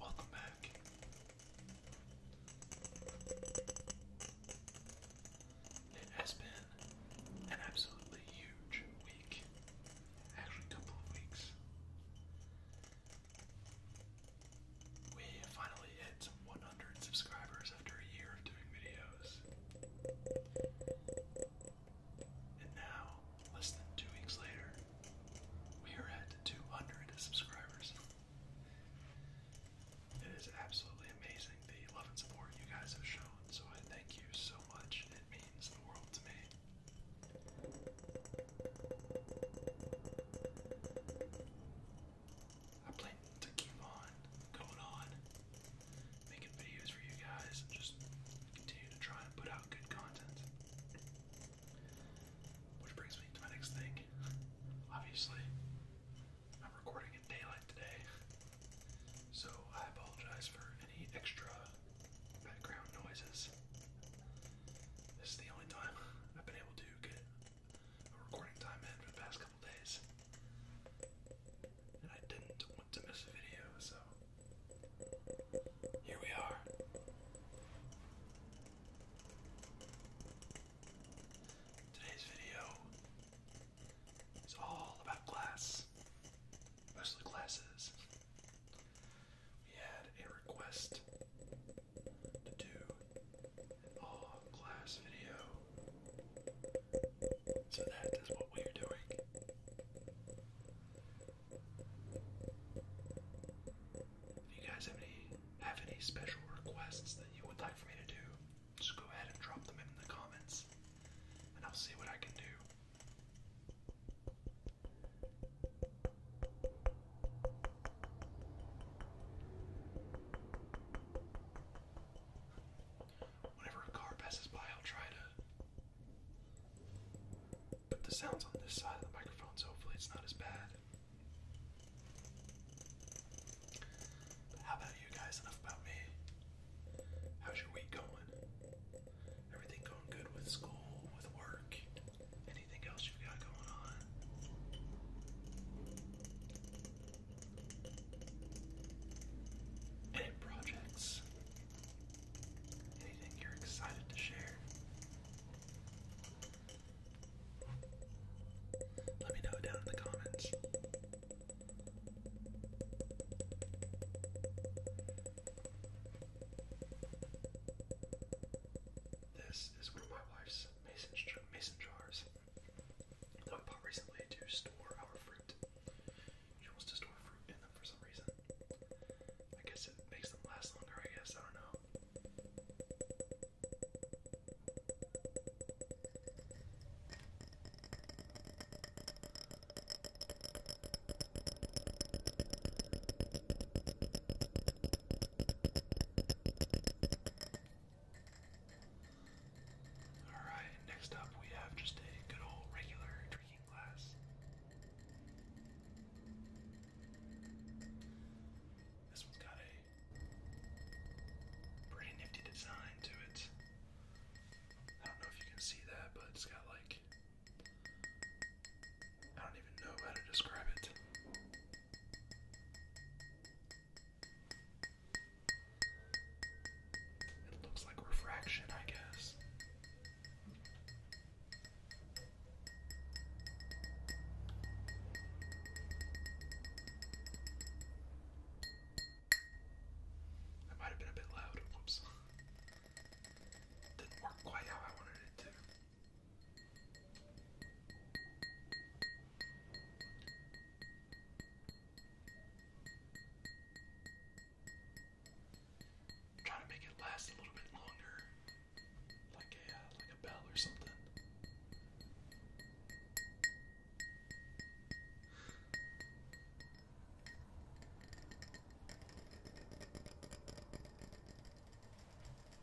Welcome back. It has been an absolutely huge week. Actually, couple of weeks. We finally hit 100 subscribers after a year of doing videos. And now, less than two weeks later, we are at 200 subscribers. It is absolutely amazing the love and support you guys have shown, so I thank you so much. It means the world to me. I plan to keep on going on, making videos for you guys, and just continue to try and put out good content. Which brings me to my next thing. Obviously, I'm recording in daylight today, so I apologize for any extra background noises. This is the only time I've been able to get a recording time in for the past couple days. And I didn't want to miss a video, so here we are. Today's video is all about class, especially classes. We had a request to do uh, class video. So that is what we are doing. If you guys have any have any special requests that you would like for me to do, just go ahead and drop them in the comments, and I'll see what I can do. Whenever a car passes by, I'll try to put the sounds on this side of the microphone so hopefully it's not as bad. how about you guys? Enough about me. How's your week going? Everything going good with school, with work? Anything else you got going on? Any projects? Anything you're excited to share? Let me know down in the comments. This is one of my wife's mason, mason jars. That we recently to store our fruit. She wants to store fruit in them for some reason. I guess it makes them last longer, I guess. I don't know. Alright, next up we have just a good old regular drinking glass. This one's got a pretty nifty design to it. I don't know if you can see that, but it's got like. I don't even know how to describe it. It looks like refraction, I guess. That might have been a bit loud. Whoops. Didn't work quite how I wanted it to. Try to make it last a little bit longer, like a uh, like a bell or something.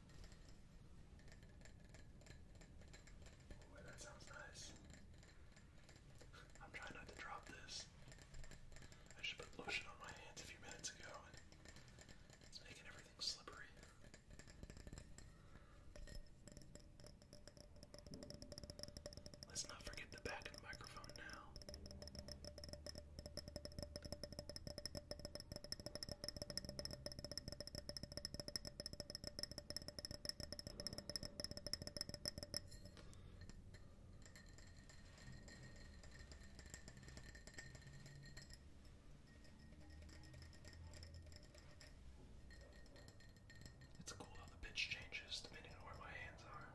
Boy, that sounds nice. I'm trying not to drop this. I should put lotion on my hands a few minutes ago, and it's making everything slippery. Let's not forget the back of the microphone now. It's cool how the pitch changes depending on where my hands are.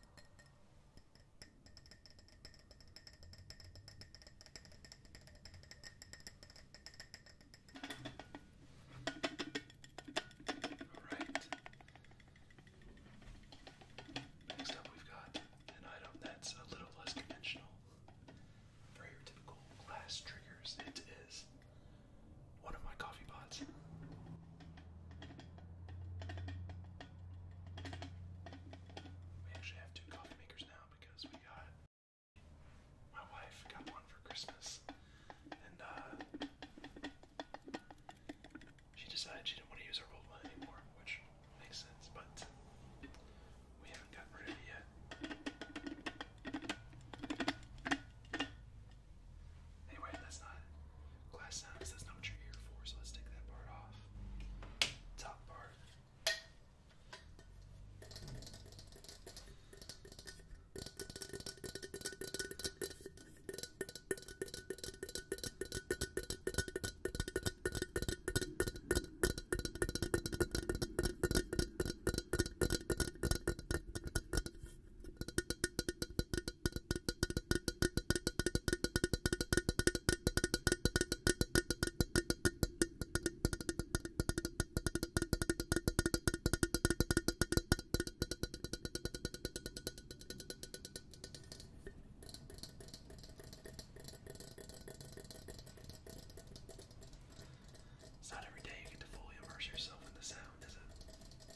All right. Next up, we've got an item that's a little less conventional. For typical glass triggers, it is one of my coffee pots. We actually have two coffee makers now because we got my wife got one for Christmas, and uh, she decided she didn't want to use her old one anymore, which makes sense. But we haven't gotten rid of it yet. Anyway, that's not glass sounds. That's not what you're here for. So let's take that part off. Top part. It's not every day you get to fully immerse yourself in the sound, is it?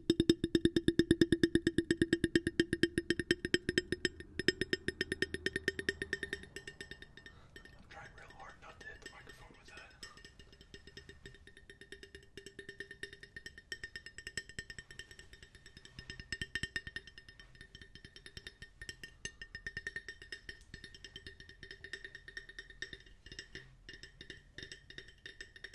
I'm trying real hard not to hit the microphone with that.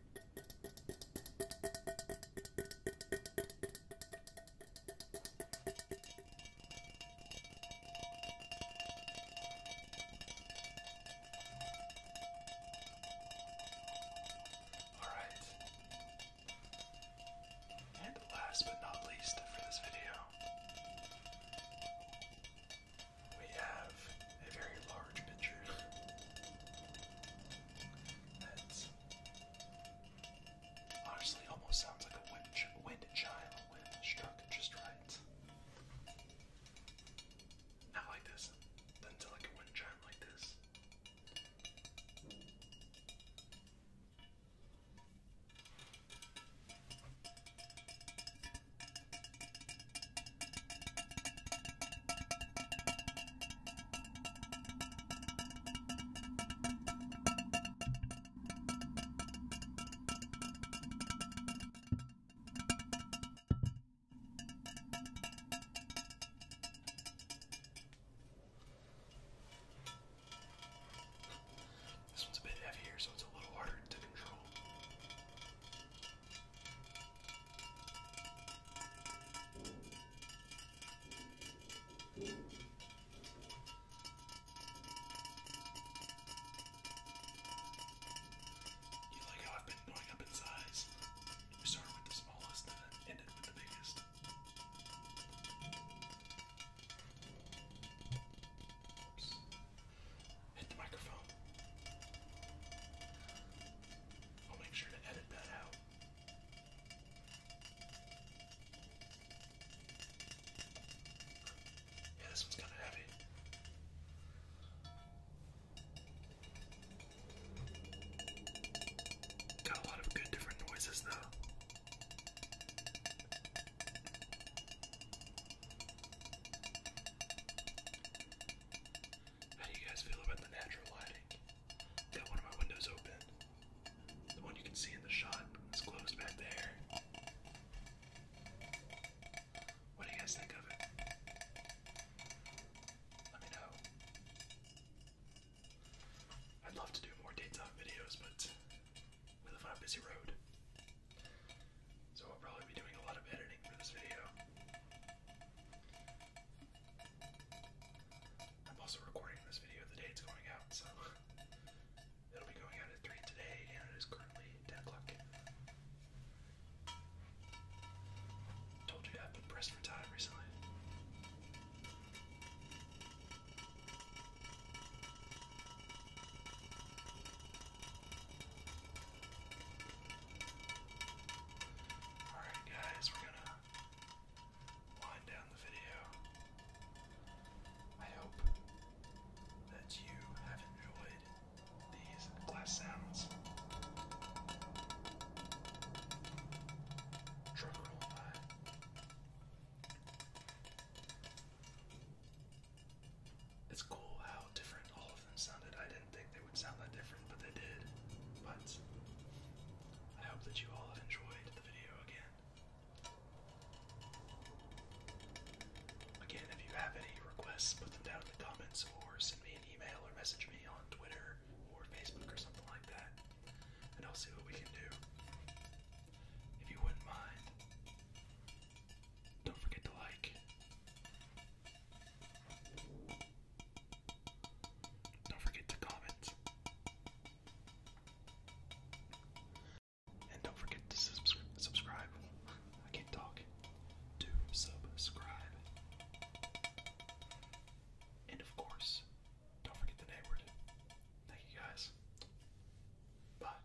All right. And last but not least for this video, we have a very large picture that's honestly almost sounds like a wind, wind chime when struck just right. Not like this, then like a wind chime like this. This one's a bit heavier, so it's a little harder to control. You like how I've been going up in size? We started with the smallest and then ended with the biggest. Oops. Hit the microphone. I'll make sure to edit that out. Yeah, this one's kind of heavy. Got a lot of good different noises though. How do you guys feel about the natural lighting? Got one of my windows open. The one you can see in the shot is closed back there. What do you guys think of it? Let me know. I'd love to do more daytime videos, but we live on a busy road. So I'll probably be doing a lot of editing for this video. I'm also recording this video the day it's going out, so it'll be going out at 3 today, and it is currently 10 o'clock. Told you I've been pressed time recently. Alright, guys, we're gonna wind down the video. I hope that you have enjoyed these glass sounds. Truck roll by. It's cool how different all of them sounded. I didn't think they would sound that different, but they did. But I hope that you all have enjoyed the video again. Again, if you have any requests, put them down in the comments or send me an email or message me on Twitter or Facebook or something like that. And I'll see what we can do. If you wouldn't mind, don't forget to like. Don't forget to comment. And don't forget to subscribe. I can't talk. Do subscribe. And of course, don't forget the name word. Thank you guys. Bye.